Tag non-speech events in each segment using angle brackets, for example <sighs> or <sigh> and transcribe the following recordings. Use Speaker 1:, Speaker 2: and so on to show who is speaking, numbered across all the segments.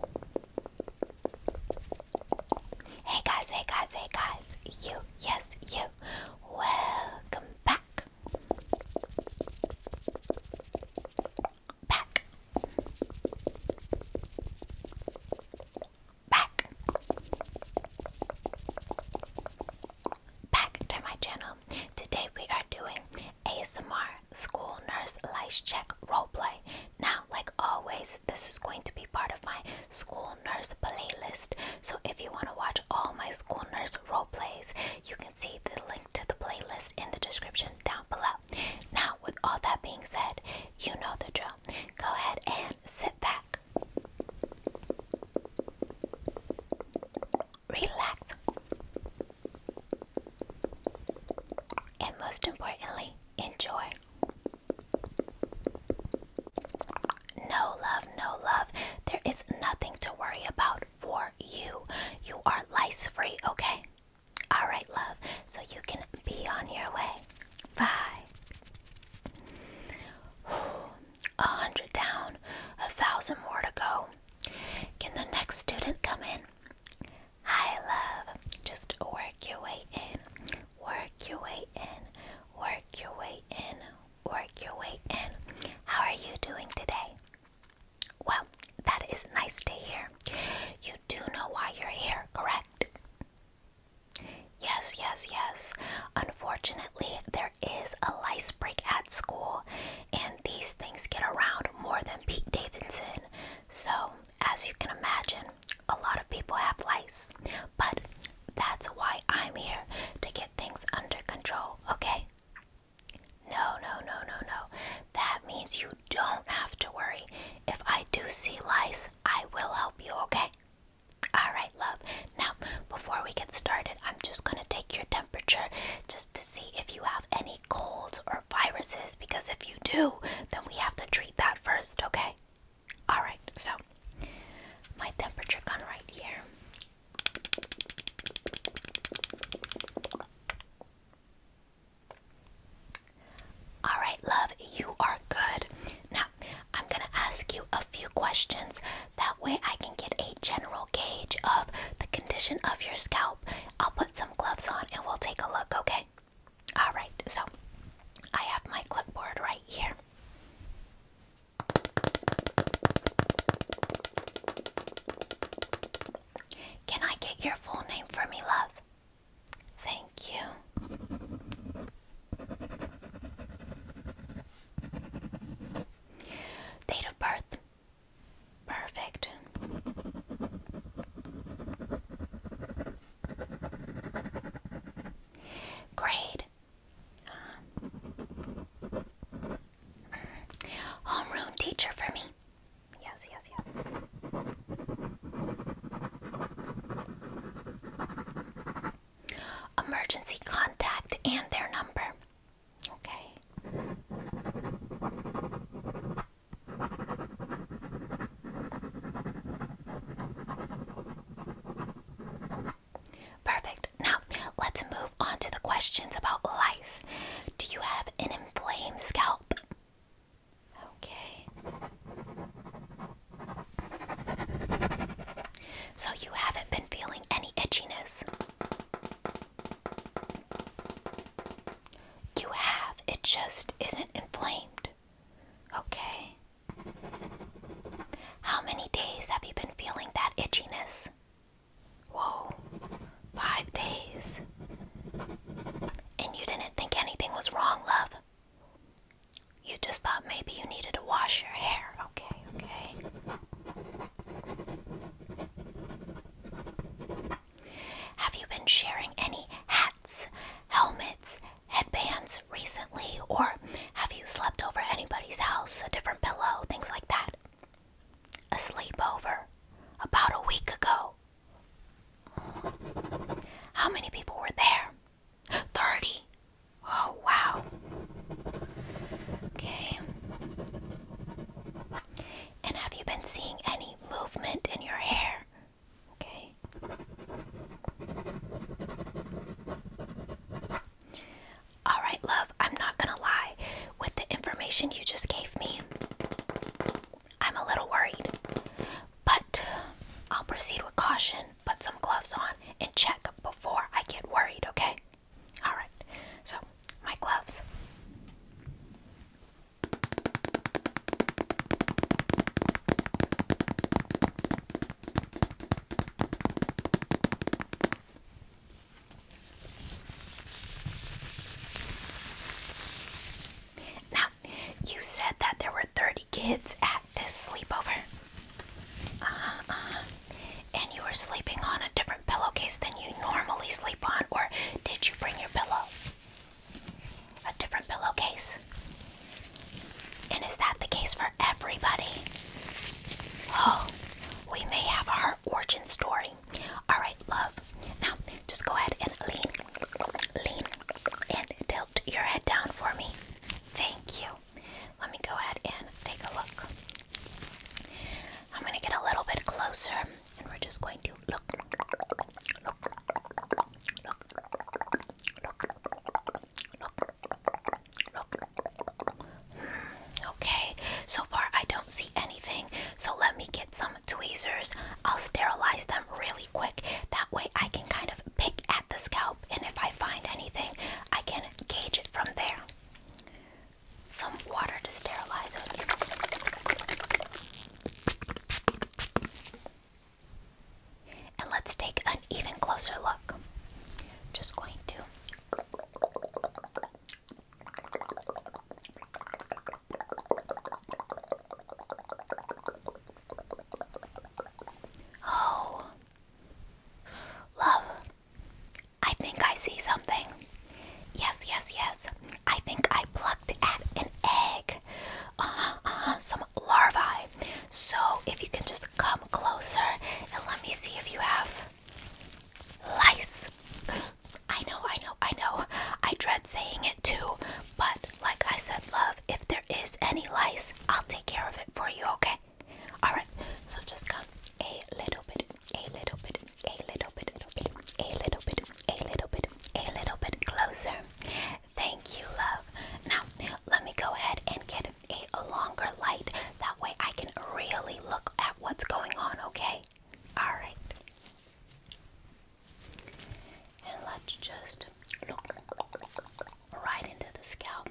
Speaker 1: Hey guys, hey guys, hey guys, you, yes, you, welcome back. Back. Back. Back to my channel. Today we are doing ASMR School Nurse Lice Check role play. Now, like always, this is going to be part of my School Nurse playlist. So if you want to watch all my School Nurse role plays, you can see the link to the playlist in the description down below. Now, with all that being said, you know the drill. Go ahead and sit back. Relax and most importantly, enjoy. No love, no love. There is nothing to worry about for you. You are lice free, okay? All right, love. So you can be on your way. Bye. A hundred down, a thousand more to go. Can the next student come in? Hi, love. Just work your way in. Work your way in. Work your way in. Work your way in. How are you doing today? Well, that is nice to hear. You do know why you're here, correct? Yes, yes, yes. Unfortunately, there is a lice break at school, and these things get around more than Pete Davidson. So, as you can imagine, a lot of people have lice, but that's why I'm here to get things under control, okay? No, no, no, no, no. That means you don't have to worry. If I do see lice, I will help you, okay? Alright, love. Now, before we get started, I'm just going to take your temperature just to see if you have any colds or viruses because if you do, then we have to treat that first, okay? Alright, so my temperature gun right here. Alright, love, you are good. Now, I'm gonna ask you a few questions. That way, I can get a general gauge of the condition of your scalp. I'll put some gloves on and we'll take a look, okay? Alright, so I have my clipboard right here. Can I get your full name for me, love? Thank you. Date of birth. Perfect. Grade. homeroom teacher for me. Yes, yes, yes. Emergency contact and their number. Okay. Perfect. Now, let's move on to the questions about lice. Do you have an inflamed scalp? Okay. So, you haven't been feeling any itchiness? You have, it just isn't inflamed. Okay. How many days have you been feeling that itchiness? Whoa, five days. And you didn't think anything was wrong, love? You just thought maybe you needed to wash your hair. Okay, okay. Have you been sharing any hats, helmets, headbands recently, or have you slept over anybody's house, a different pillow, things like that? A sleepover about a week ago. How many people were there? 30. Oh, wow. Okay. And have you been seeing any movement in your hair? okay? Alright, love, I'm not gonna lie. With the information you just gave me, I'm a little worried. But I'll proceed with caution, put some gloves on, and check before I get worried, okay? Alright, so my gloves. Now, you said that there were 30 kids at this sleepover. Uh -huh, And you were sleeping on a different pillowcase than you normally sleep on, or did you bring your pillow? A different pillowcase. And is that the case for everybody? Oh, we may have our origin story. Alright, love. Now, just go ahead and lean, lean, and tilt your head down for me. Thank you. Let me go ahead and take a look. I'm going to get a little bit closer and we're just going to look, look, Okay, so far I don't see anything, so let me get some tweezers. I'll sterilize them really quick. That way I can kind of pick at the scalp, and if I find anything, I can gauge it from there. Some water to sterilize it. And let's take an even closer look. Just going to. Oh, love, I think I see something. Yes, yes, yes. I think I plucked at an egg. Uh huh, uh-huh. Some larvae. So if you can just come closer and let me see if you have lice. I know, I know, I know. I dread saying it too, but like I said, love, if there is any lice, I'll take care of it for you, okay? Alright, so just come a little bit, a little bit, a little bit, a little bit, a little bit, a little bit, a little bit closer. Thank you, love. Now, let me go ahead and get a longer light. That way I can really look at what's going on, okay? Alright. And let's just look right into the scalp.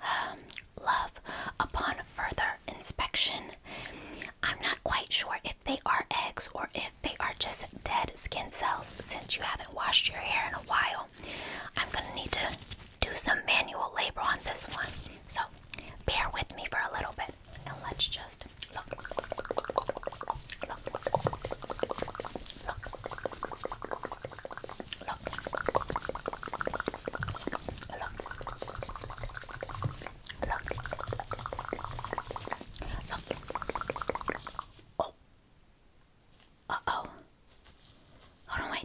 Speaker 1: <sighs> Love upon further inspection. I'm not quite sure if they are eggs or if they are just dead skin cells since you haven't washed your hair in a while. I'm gonna need to do some manual labor on this one. So bear with me for a little bit and let's just Look. Look. Look. Oh. Uh oh. Hold on, wait.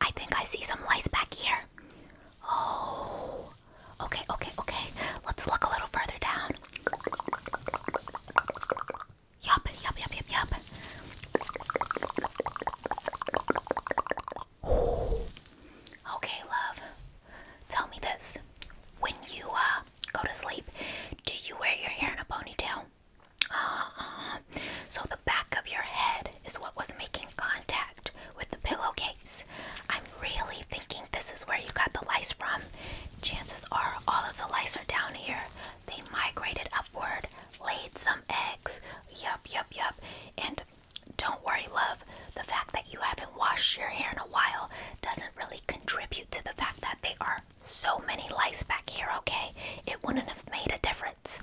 Speaker 1: I think I see some lights back here. Oh. Okay, okay, okay. Let's look a little further down. Yup, yup, yup, yup, yup. Okay, love. Tell me this. When you uh go to sleep, do you wear your hair in a ponytail? Uh uh. So the back of your head is what was making contact with the pillowcase. I'm really thinking this is where you got the lice from. Chances are all of the lice are down here. They migrated upward laid some eggs. Yup, yup, yup. And don't worry, love, the fact that you haven't washed your hair in a while doesn't really contribute to the fact that there are so many lice back here, okay? It wouldn't have made a difference.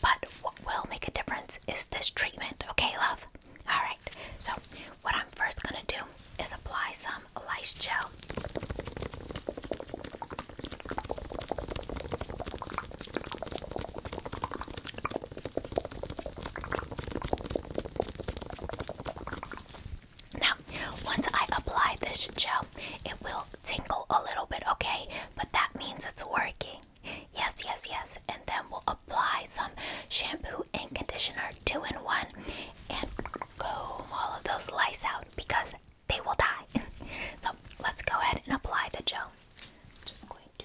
Speaker 1: But what will make a difference is this treatment, okay, love? Alright, so what I'm first gonna do is apply some lice gel now, once I apply this gel, it will tingle a little bit, okay? But that means it's working. Yes, yes, yes. And then we'll apply some shampoo and conditioner two in one and comb all of those lice out because they will die. <laughs> so let's go ahead and apply the gel. Just going to.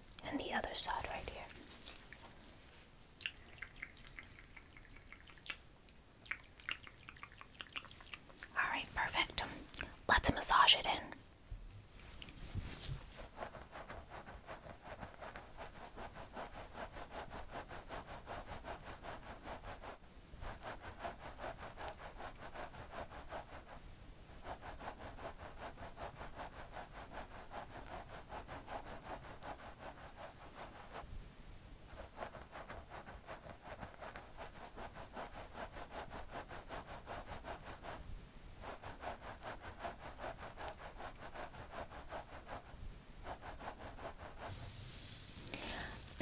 Speaker 1: and the other side right here. All right, perfect. Let's massage it in.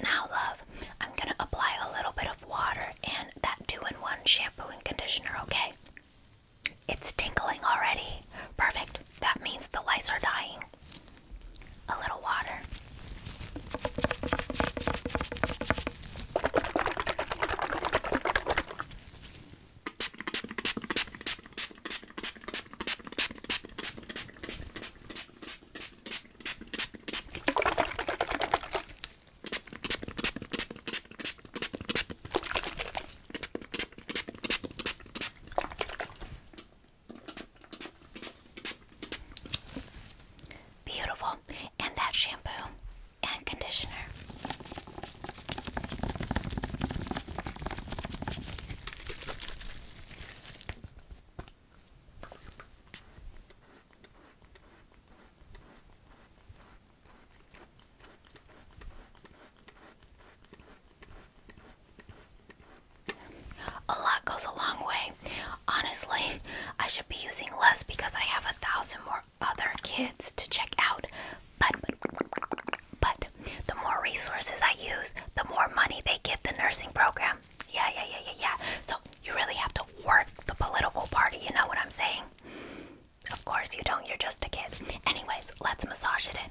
Speaker 1: Now, love, I'm going to apply a little bit of water and that two in one shampoo and conditioner, okay? It's tinkling already. Perfect. That means the lice are dying. A little water. Beautiful. And that shampoo and conditioner. A lot goes a long way. Honestly, I should be using less because I have a thousand more other kids to check out. But, but, but the more resources I use, the more money they give the nursing program. Yeah, yeah, yeah, yeah, yeah. So you really have to work the political party, you know what I'm saying? Of course you don't, you're just a kid. Anyways, let's massage it in.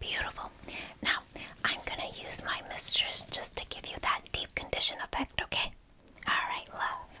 Speaker 1: Beautiful. Now, I'm going to use my mistress just to give you that deep condition effect, okay? All right, love.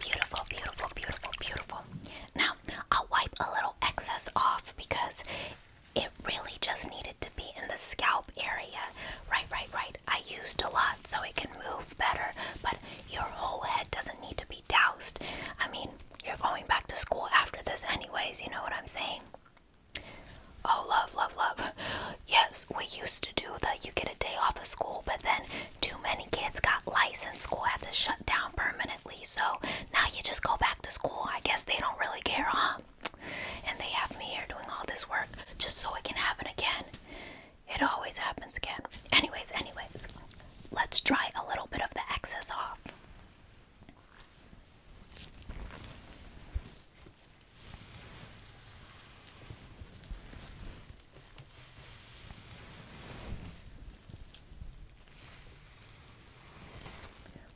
Speaker 1: Beautiful, beautiful, beautiful, beautiful. Now, I'll wipe a little excess off because it really just needed to be in the scalp area. Right, right, right. I used a lot so it can move better, but your whole head doesn't need to be doused. I mean, you're going back to school after this, anyways, you know what I'm saying? Oh, love, love, love. Yes, we used to do that. You get a day off of school, but then too many kids got licensed. School had to shut down permanently. So now you just go back to school. I guess they don't really care, huh? And they have me here doing all this work just so it can happen again. It always happens again. Anyways, anyways, let's try a little bit of the excess off.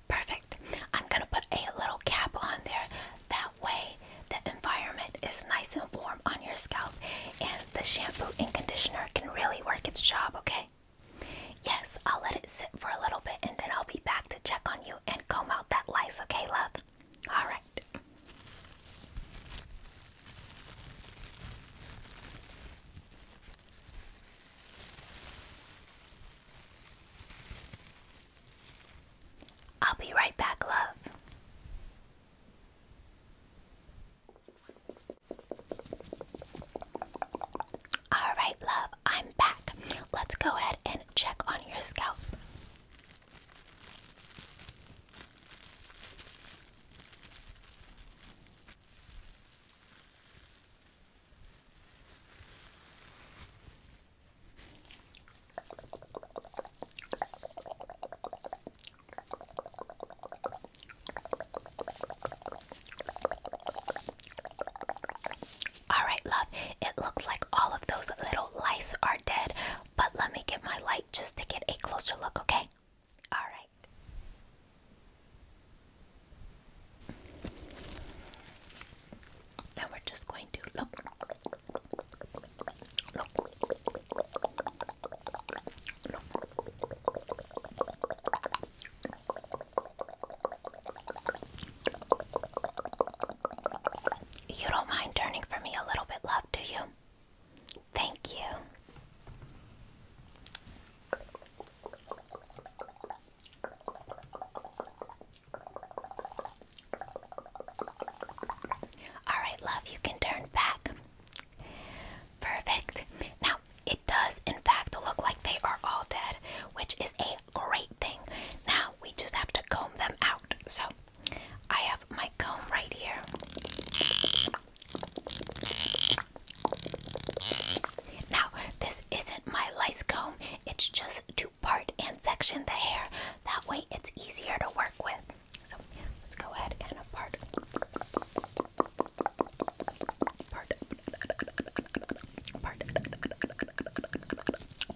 Speaker 1: Perfect. I'm going to put a little cap on there. That way the environment is nice and warm on your scalp, and the shampoo and conditioner can really work its job, okay? Yes, I'll let it sit for a little bit and then I'll be back to check on you and comb out that lice, okay, love? Alright. I'll be right back, love. All right, love, I'm back. Let's go ahead and check on your scalp. All right, love, it looks like all of those little lice are dead, but let me get my light just to get a closer look, okay? All right. Now we're just going to look. You don't mind turning for me a little bit, love, do you? Thank you. All right, love, you can turn back. Perfect. Now, it does, in fact, look like they are all dead, which is a great thing. Now, we just have to comb them out. So, I have my comb right here. Now, this isn't my lice comb, it's just to part and section the hair. That way, it's easier to work with. So yeah, let's go ahead and part. Part. Part.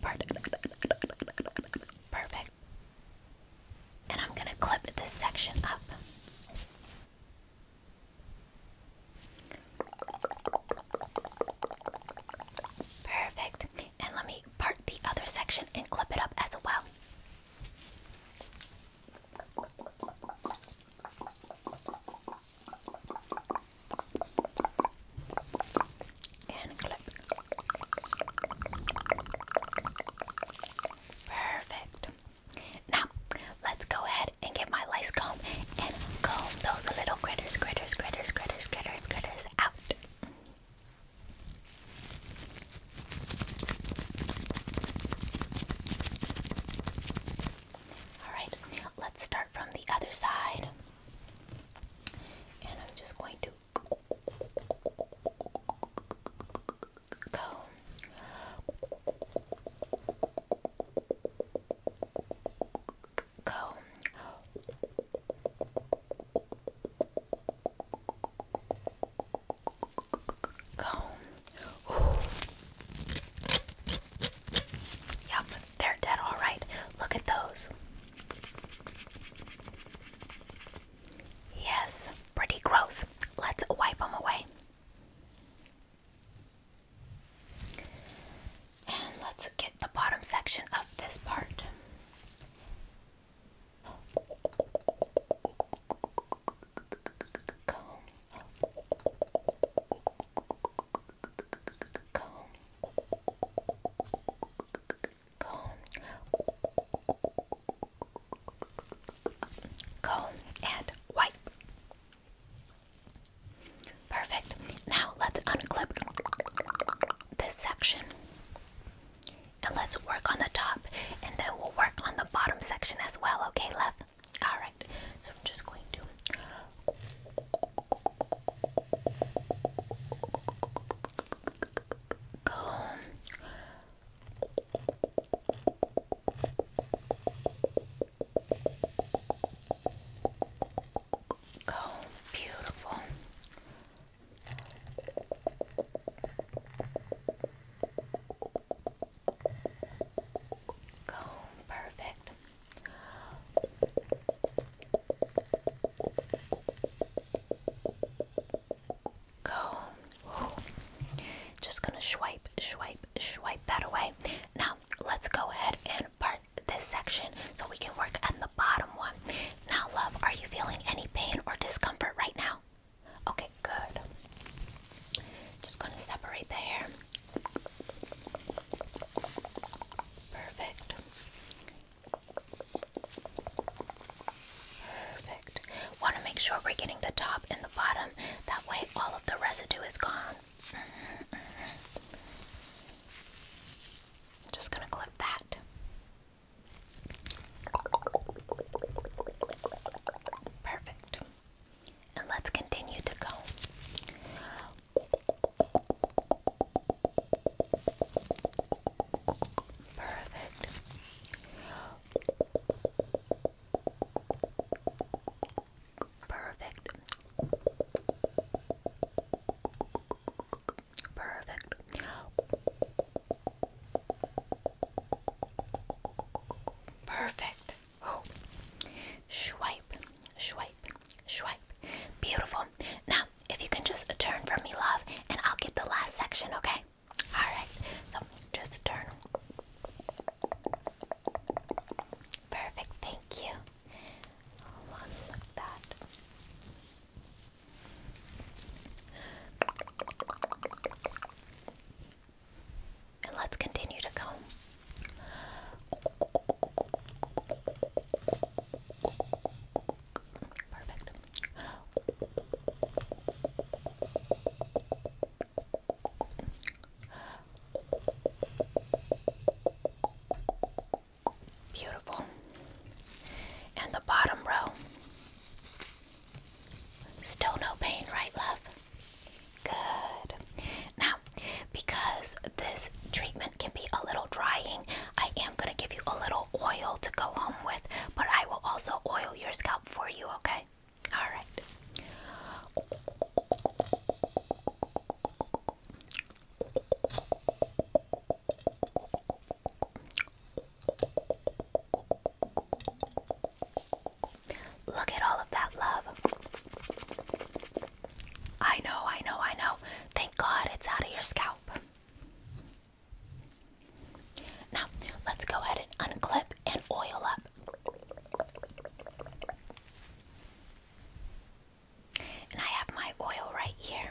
Speaker 1: Part. Perfect. And I'm going to clip this section up. Perfect. And let me part the other section and clip it up as well. Perfect. Now, let's go ahead and get my lice comb and comb those little critters, critters, critters, critters, critters, critters out. Alright, let's start from the other side. And I'm just going to go. Go comb. Ooh. they're dead all right. Look at those. Yes, pretty gross. Let's wipe them away. And let's get the bottom section of this part comb comb comb comb and wipe perfect now let's unclip this section and let's work on the top and then we'll work on the bottom section as well okay love all right so i'm just going to comb comb beautiful Comb, perfect. Comb. Just gonna swipe, swipe, swipe that away. Now let's go ahead and part this section so we can work on the bottom one. Now, love, are you feeling any pain or discomfort right now? Okay, good. Just gonna separate the hair. Perfect. Perfect. Want to make sure we're getting the top and the bottom. That way, all of the residue is gone. just gonna clip that. Perfect. And let's continue to go. Perfect. Perfect. Perfect. Perfect. Oh. swipe, swipe, swipe. Beautiful. Now, if you can just turn for me, love, and I'll get the last section, okay? Alright, so just turn. Perfect, thank you. Hold on, like that. And let's continue to comb. Perfect. Beautiful. And the bottom row. Still no pain, right, love? Good. Now, because this treatment can be a little drying, I am going to give you a little oil to go home with, but I will also oil your scalp for you, okay? All right. Look at all of that love. I know, I know, I know. Thank God it's out of your scalp. Now, let's go ahead and unclip and oil up. And I have my oil right here.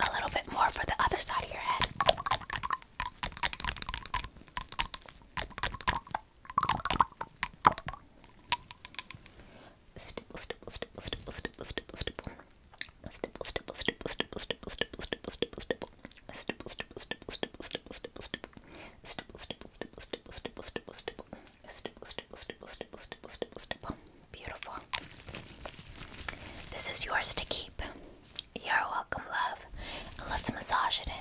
Speaker 1: A little bit more for the other side of your head stipple, stipple, stipple, stipple, stipple, stipple, stipple. Beautiful. This is yours to keep. You're welcome, love. let's massage it in.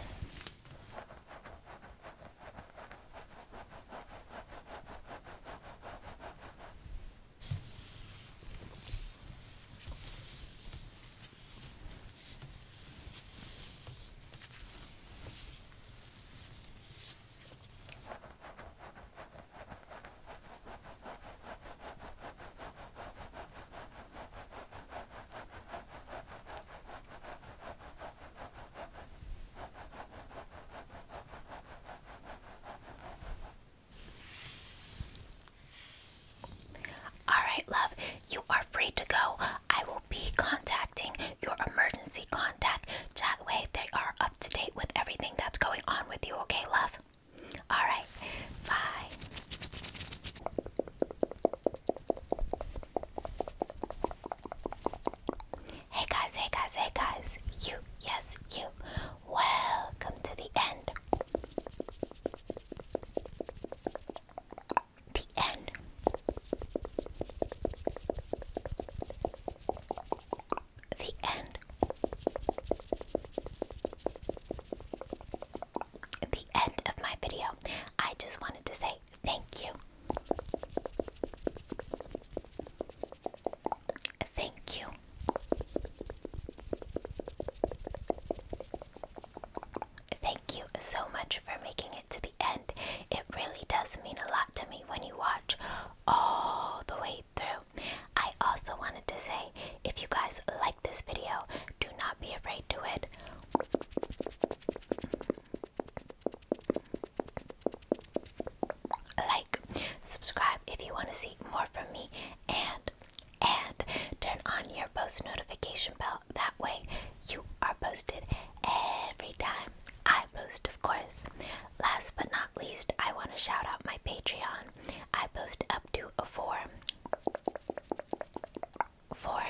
Speaker 1: All right, love, you are free to go. I will be contacting your emergency contact. That way, they are up to date with everything that's going on with you, okay, love? Alright, bye. Hey guys, hey guys, hey guys. You, yes, you. Welcome to the end. The end the end. The end of my video. I just wanted to say thank you. Thank you. Thank you so much for making it to the end. It really does mean a lot to me when you watch all the way through. I also wanted to say if you guys like this video, do not be afraid to it. Like, subscribe if you want to see more from me, and and turn on your post notification bell. That way, you are posted every time I post, of course. Last but not least, I want to shout out my Patreon. I post up to a four, four,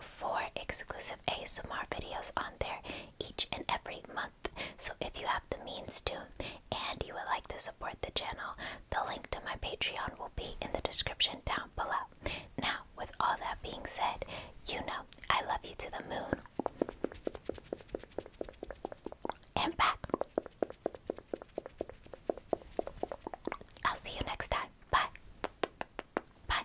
Speaker 1: four exclusive ASMR videos on there each and every month. So if you have the means to and you would like to support the channel, the link to my Patreon will be in the description down below. Now, with all that being said, you know I love you to the moon and back. I'll see you next time. Bye. Bye.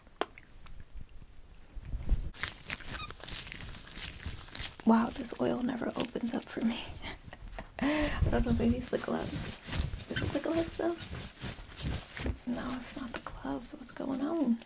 Speaker 1: Wow, this oil never opens up for me. I don't know, maybe it's the gloves. Is it the gloves though? No, it's not the gloves. What's going on?